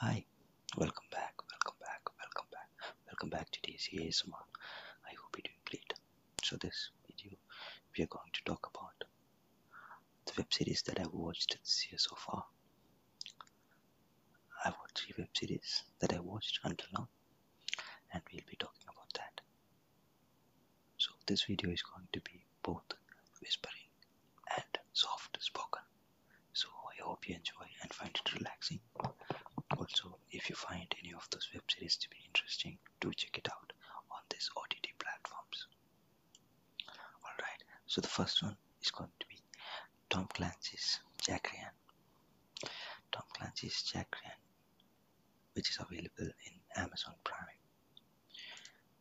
Hi, welcome back, welcome back, welcome back, welcome back to DCA ASMR. I hope you're doing great. So this video, we are going to talk about the web series that I've watched this year so far. I've watched three web series that I have watched until now, and we'll be talking about that. So this video is going to be both whispering and soft spoken. So I hope you enjoy and find it relaxing. Also, if you find any of those web series to be interesting, do check it out on these OTT platforms. Alright, so the first one is going to be Tom Clancy's Jack Ryan. Tom Clancy's Jack Ryan, which is available in Amazon Prime.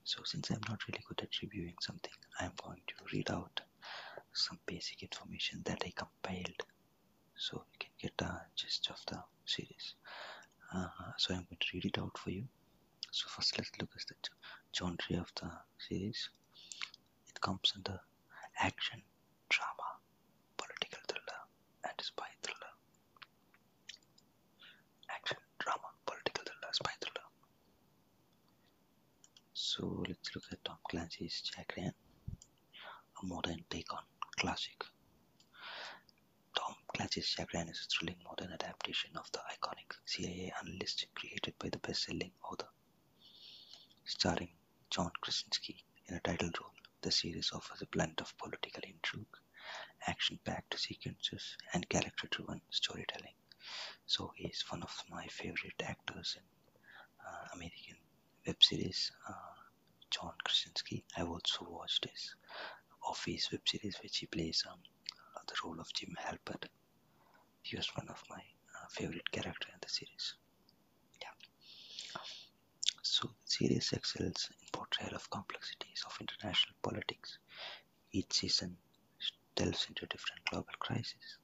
So since I'm not really good at reviewing something, I'm going to read out some basic information that I compiled so you can get a gist of the series. Uh, so I'm going to read it out for you. So first let's look at the genre of the series. It comes under action, drama, political thriller and spy thriller action, drama, political thriller, spy thriller. So let's look at Tom Clancy's Jack Ryan, a modern take on classic. Tom Clancy's Jack Ryan is a thrilling modern adaptation of the iconic CIA analyst created by the best-selling author. Starring John Krasinski in a title role, the series offers a blend of political intrigue, action-packed sequences, and character-driven storytelling. So he's one of my favorite actors in uh, American web series, uh, John Krasinski. I've also watched his Office web series, which he plays um, uh, the role of Jim Halpert. He was one of my favorite characters in the series. Yeah. So the series excels in portrayal of complexities of international politics each season delves into different global crises,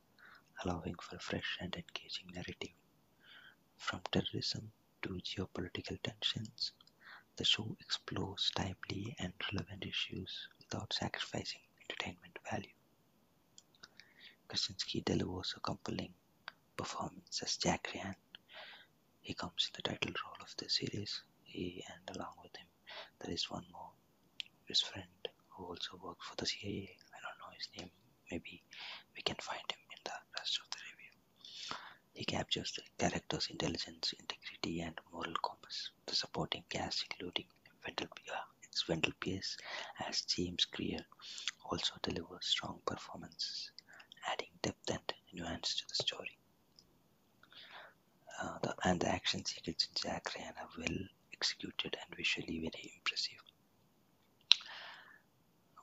allowing for a fresh and engaging narrative. From terrorism to geopolitical tensions, the show explores timely and relevant issues without sacrificing entertainment value. Krasinski delivers a compelling performance as Jack Ryan, he comes in the title role of the series, he and along with him there is one more, his friend who also works for the CIA, I don't know his name, maybe we can find him in the rest of the review. He captures the character's intelligence, integrity and moral compass. The supporting cast including Wendell, Pierce uh, as James Greer also delivers strong performances, adding depth and nuance to the story. Uh, the, and the action sequences in Jack Ryan are well executed and visually very impressive.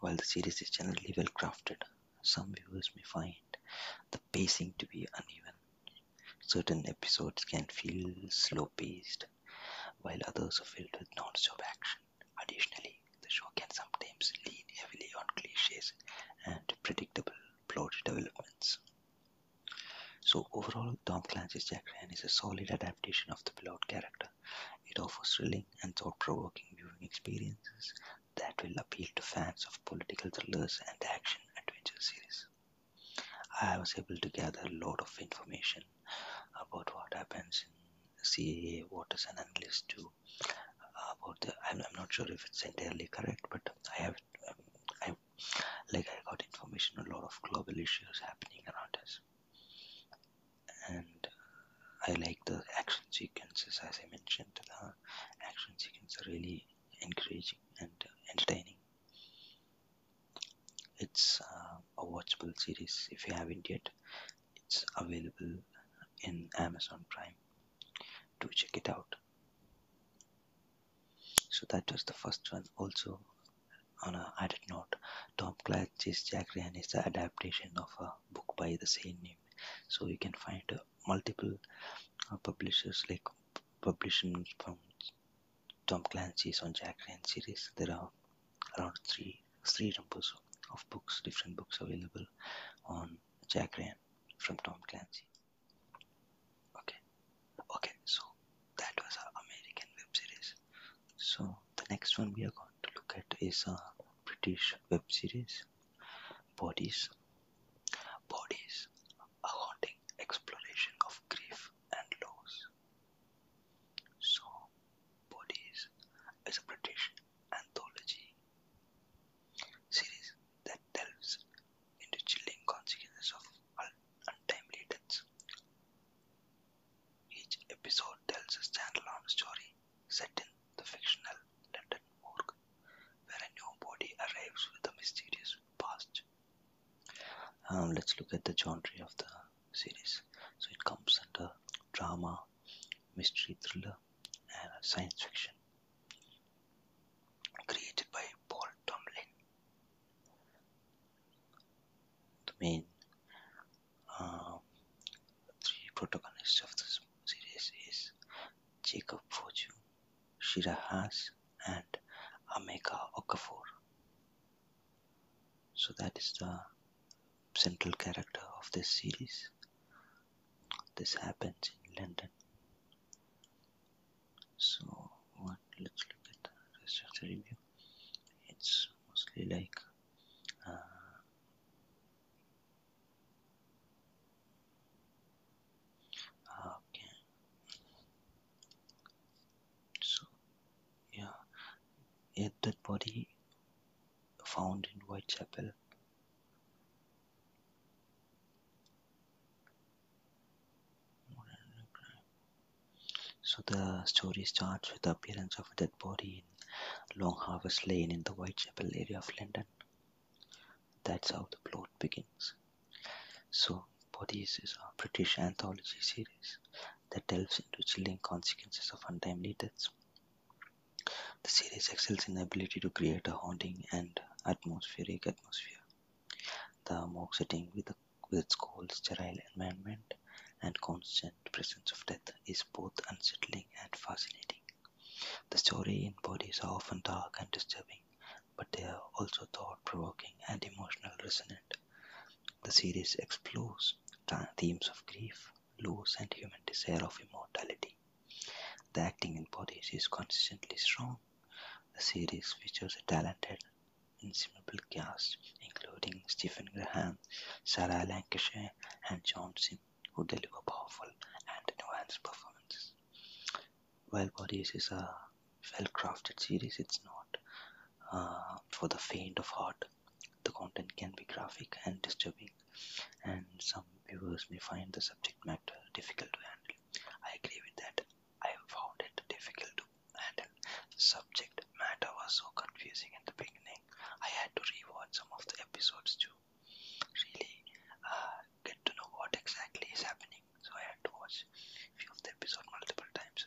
While the series is generally well crafted, some viewers may find the pacing to be uneven. Certain episodes can feel slow paced, while others are filled with non stop action. Additionally, the show can sometimes lean heavily on cliches and predictable plot developments. So overall, Tom Clancy's Jack Ryan is a solid adaptation of the plot character. It offers thrilling and thought-provoking viewing experiences that will appeal to fans of political thrillers and action-adventure series. I was able to gather a lot of information about what happens in CAA, what is an analyst do, about the. I'm, I'm not sure if it's entirely correct, but I have. I like I got information a lot of global issues happening around us, and I like the action sequences as I mentioned. The action sequences are really encouraging and entertaining. It's uh, a watchable series if you haven't yet. It's available in Amazon Prime do check it out so that was the first one also on a added note tom clancy's jack ryan is the adaptation of a book by the same name so you can find uh, multiple uh, publishers like publishing from tom clancy's on jack ryan series there are around three three numbers of books different books available on Jack Ryan from Tom Clancy. Okay, okay, so that was our American web series. So the next one we are going to look at is a British web series, Bodies. Bodies, a haunting exploration of grief and loss. So, Bodies is a British anthology series that delves into chilling consequences of untimely deaths. Each episode tells a standalone story set in the fictional London morgue, where a new body arrives with a mysterious past. Um, let's look at the genre of the series. So it comes under drama, mystery thriller, and science fiction created by Paul Tomlin. The main uh, three protagonists of this series is Jacob Foju, Shira Haas, and Ameka Okafor. So that is the central character of this series. This happens in London. So, what? Let's look at the rest of the review. It's mostly like uh, okay. So, yeah, yet that body found in Whitechapel. So the story starts with the appearance of a dead body in Long Harvest Lane in the Whitechapel area of London. That's how the plot begins. So Bodies is a British anthology series that delves into chilling consequences of untimely deaths the series excels in the ability to create a haunting and atmospheric atmosphere. The mock setting with, its cold, sterile environment and constant presence of death is both unsettling and fascinating. The story in bodies are often dark and disturbing, but they are also thought provoking and emotional resonant. The series explores themes of grief, loose and human desire of immortality. The acting in bodies is consistently strong. The series features a talented ensemble cast, including Stephen Graham, Sarah Lancashire, and John Sim, who deliver powerful and advanced performances. While Bodies is a well crafted series, it's not uh, for the faint of heart. The content can be graphic and disturbing, and some viewers may find the subject matter difficult to handle. I agree with that. I found it difficult to handle. The subject matter was so confusing at the beginning. I had to rewatch some of the episodes to really uh, get to know what exactly is happening. So I had to watch few of the episode multiple times,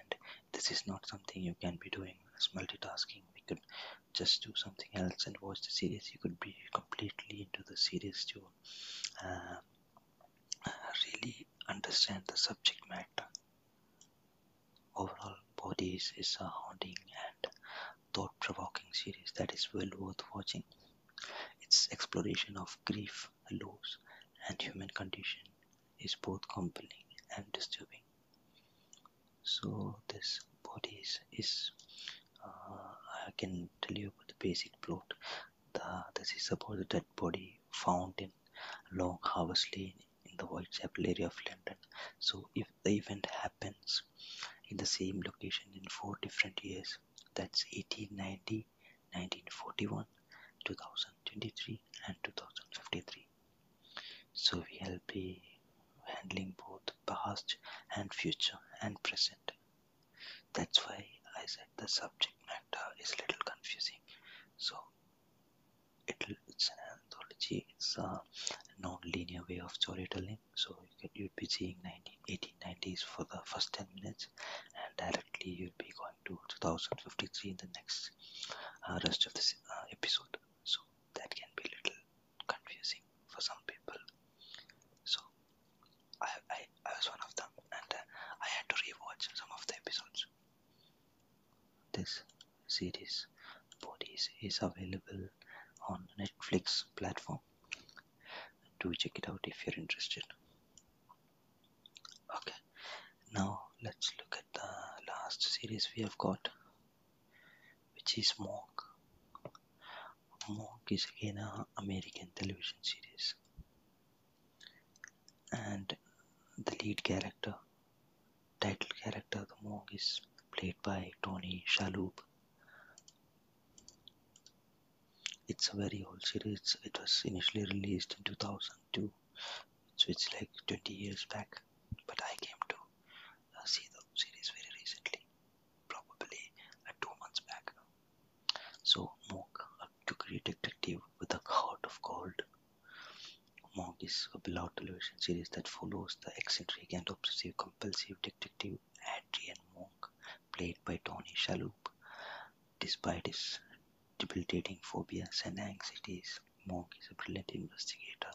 and this is not something you can be doing as multitasking we could just do something else and watch the series you could be completely into the series to uh, really understand the subject matter overall bodies is a haunting and thought-provoking series that is well worth watching its exploration of grief loss and human condition is both compelling and disturbing so this body is, uh, I can tell you about the basic plot the, this is about the dead body found in Long Harvest Lane in the Whitechapel area of London so if the event happens in the same location in four different years that's 1890 1941 2023 and 2053 so we'll be handling both past and future and present. That's why I said the subject matter is a little confusing. So it's an anthology, it's a non-linear way of storytelling. So you would be seeing 1980s for the first 10 minutes and directly you'll be going to 2053 in the next uh, rest of the series. Uh, episode so that can be a little confusing for some people so I, I, I was one of them and uh, I had to rewatch some of the episodes this series bodies is available on Netflix platform do check it out if you're interested okay now let's look at the last series we have got which is Monk Monk is again an American television series and the lead character title character the Monk is played by Tony Shalhoub it's a very old series it was initially released in 2002 so it's like 20 years back but i came to uh, see the series very recently probably uh, two months back so moog a great detective with a heart of gold moog is a beloved television series that follows the eccentric and obsessive compulsive detective adrian moog played by tony shalhoub Despite his debilitating phobias and anxieties, Monk is a brilliant investigator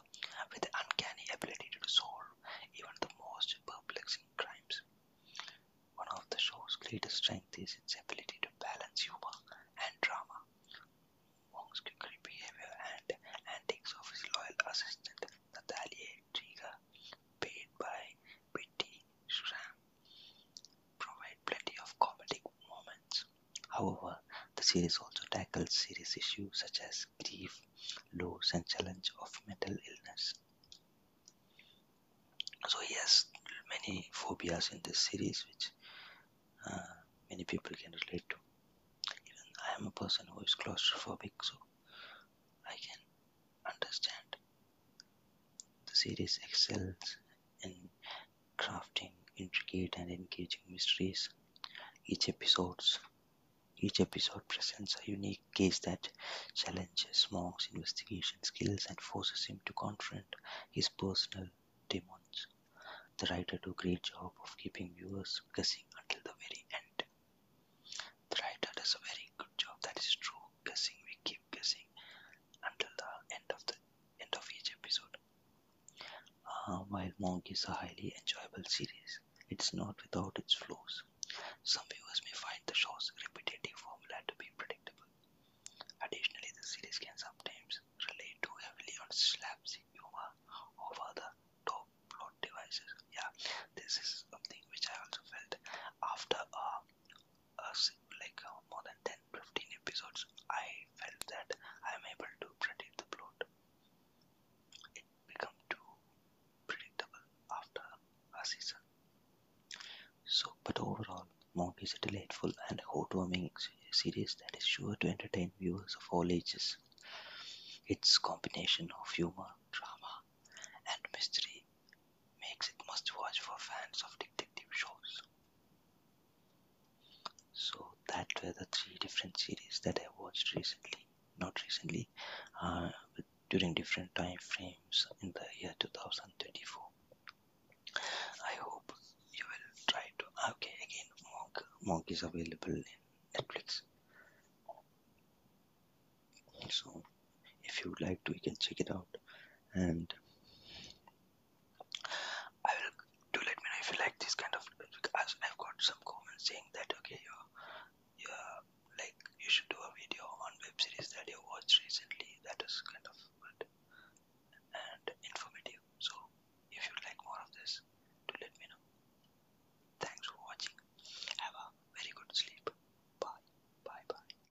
with an uncanny ability to solve even the most perplexing crimes. One of the show's greatest strengths is its ability to balance humor and drama. Monk's quirky behavior and antics of his loyal assistant Natalia Triga, paid by Betty Schramm, provide plenty of comedic moments. However, the series also tackles serious issues such as grief, loss, and challenge of mental illness. So he has many phobias in this series, which uh, many people can relate to. Even I am a person who is claustrophobic, so I can understand. The series excels in crafting intricate and engaging mysteries. Each episode's each episode presents a unique case that challenges Monk's investigation skills and forces him to confront his personal demons. The writer does a great job of keeping viewers guessing until the very end. The writer does a very good job, that is true, guessing, we keep guessing until the end of the end of each episode. while uh, Monk is a highly enjoyable series, it's not without its flaws. Some viewers may find the show's repetitive formula to be predictable. Additionally, the series can sometimes rely too heavily on slapstick humor or other top plot devices. Yeah, this is something which I also felt after uh, a, like uh, more than 10 episodes, I felt that I'm able to predict the plot. It became too predictable after a season. So, but overall, Monk is a delightful and heartwarming series that is sure to entertain viewers of all ages. Its combination of humor, drama, and mystery makes it must watch for fans of detective shows. So that were the three different series that I watched recently, not recently, uh, during different time frames in the year 2024. I hope you will try to. Okay, again, Monk. Monk is available in Netflix. So if you would like to you can check it out and I will do let me know if you like this kind of because I've got some comments saying that okay you're, you're like you should do a video on web series that you watched recently that is kind of good and informative so if you'd like more of this do let me know thanks for watching have a very good sleep bye bye bye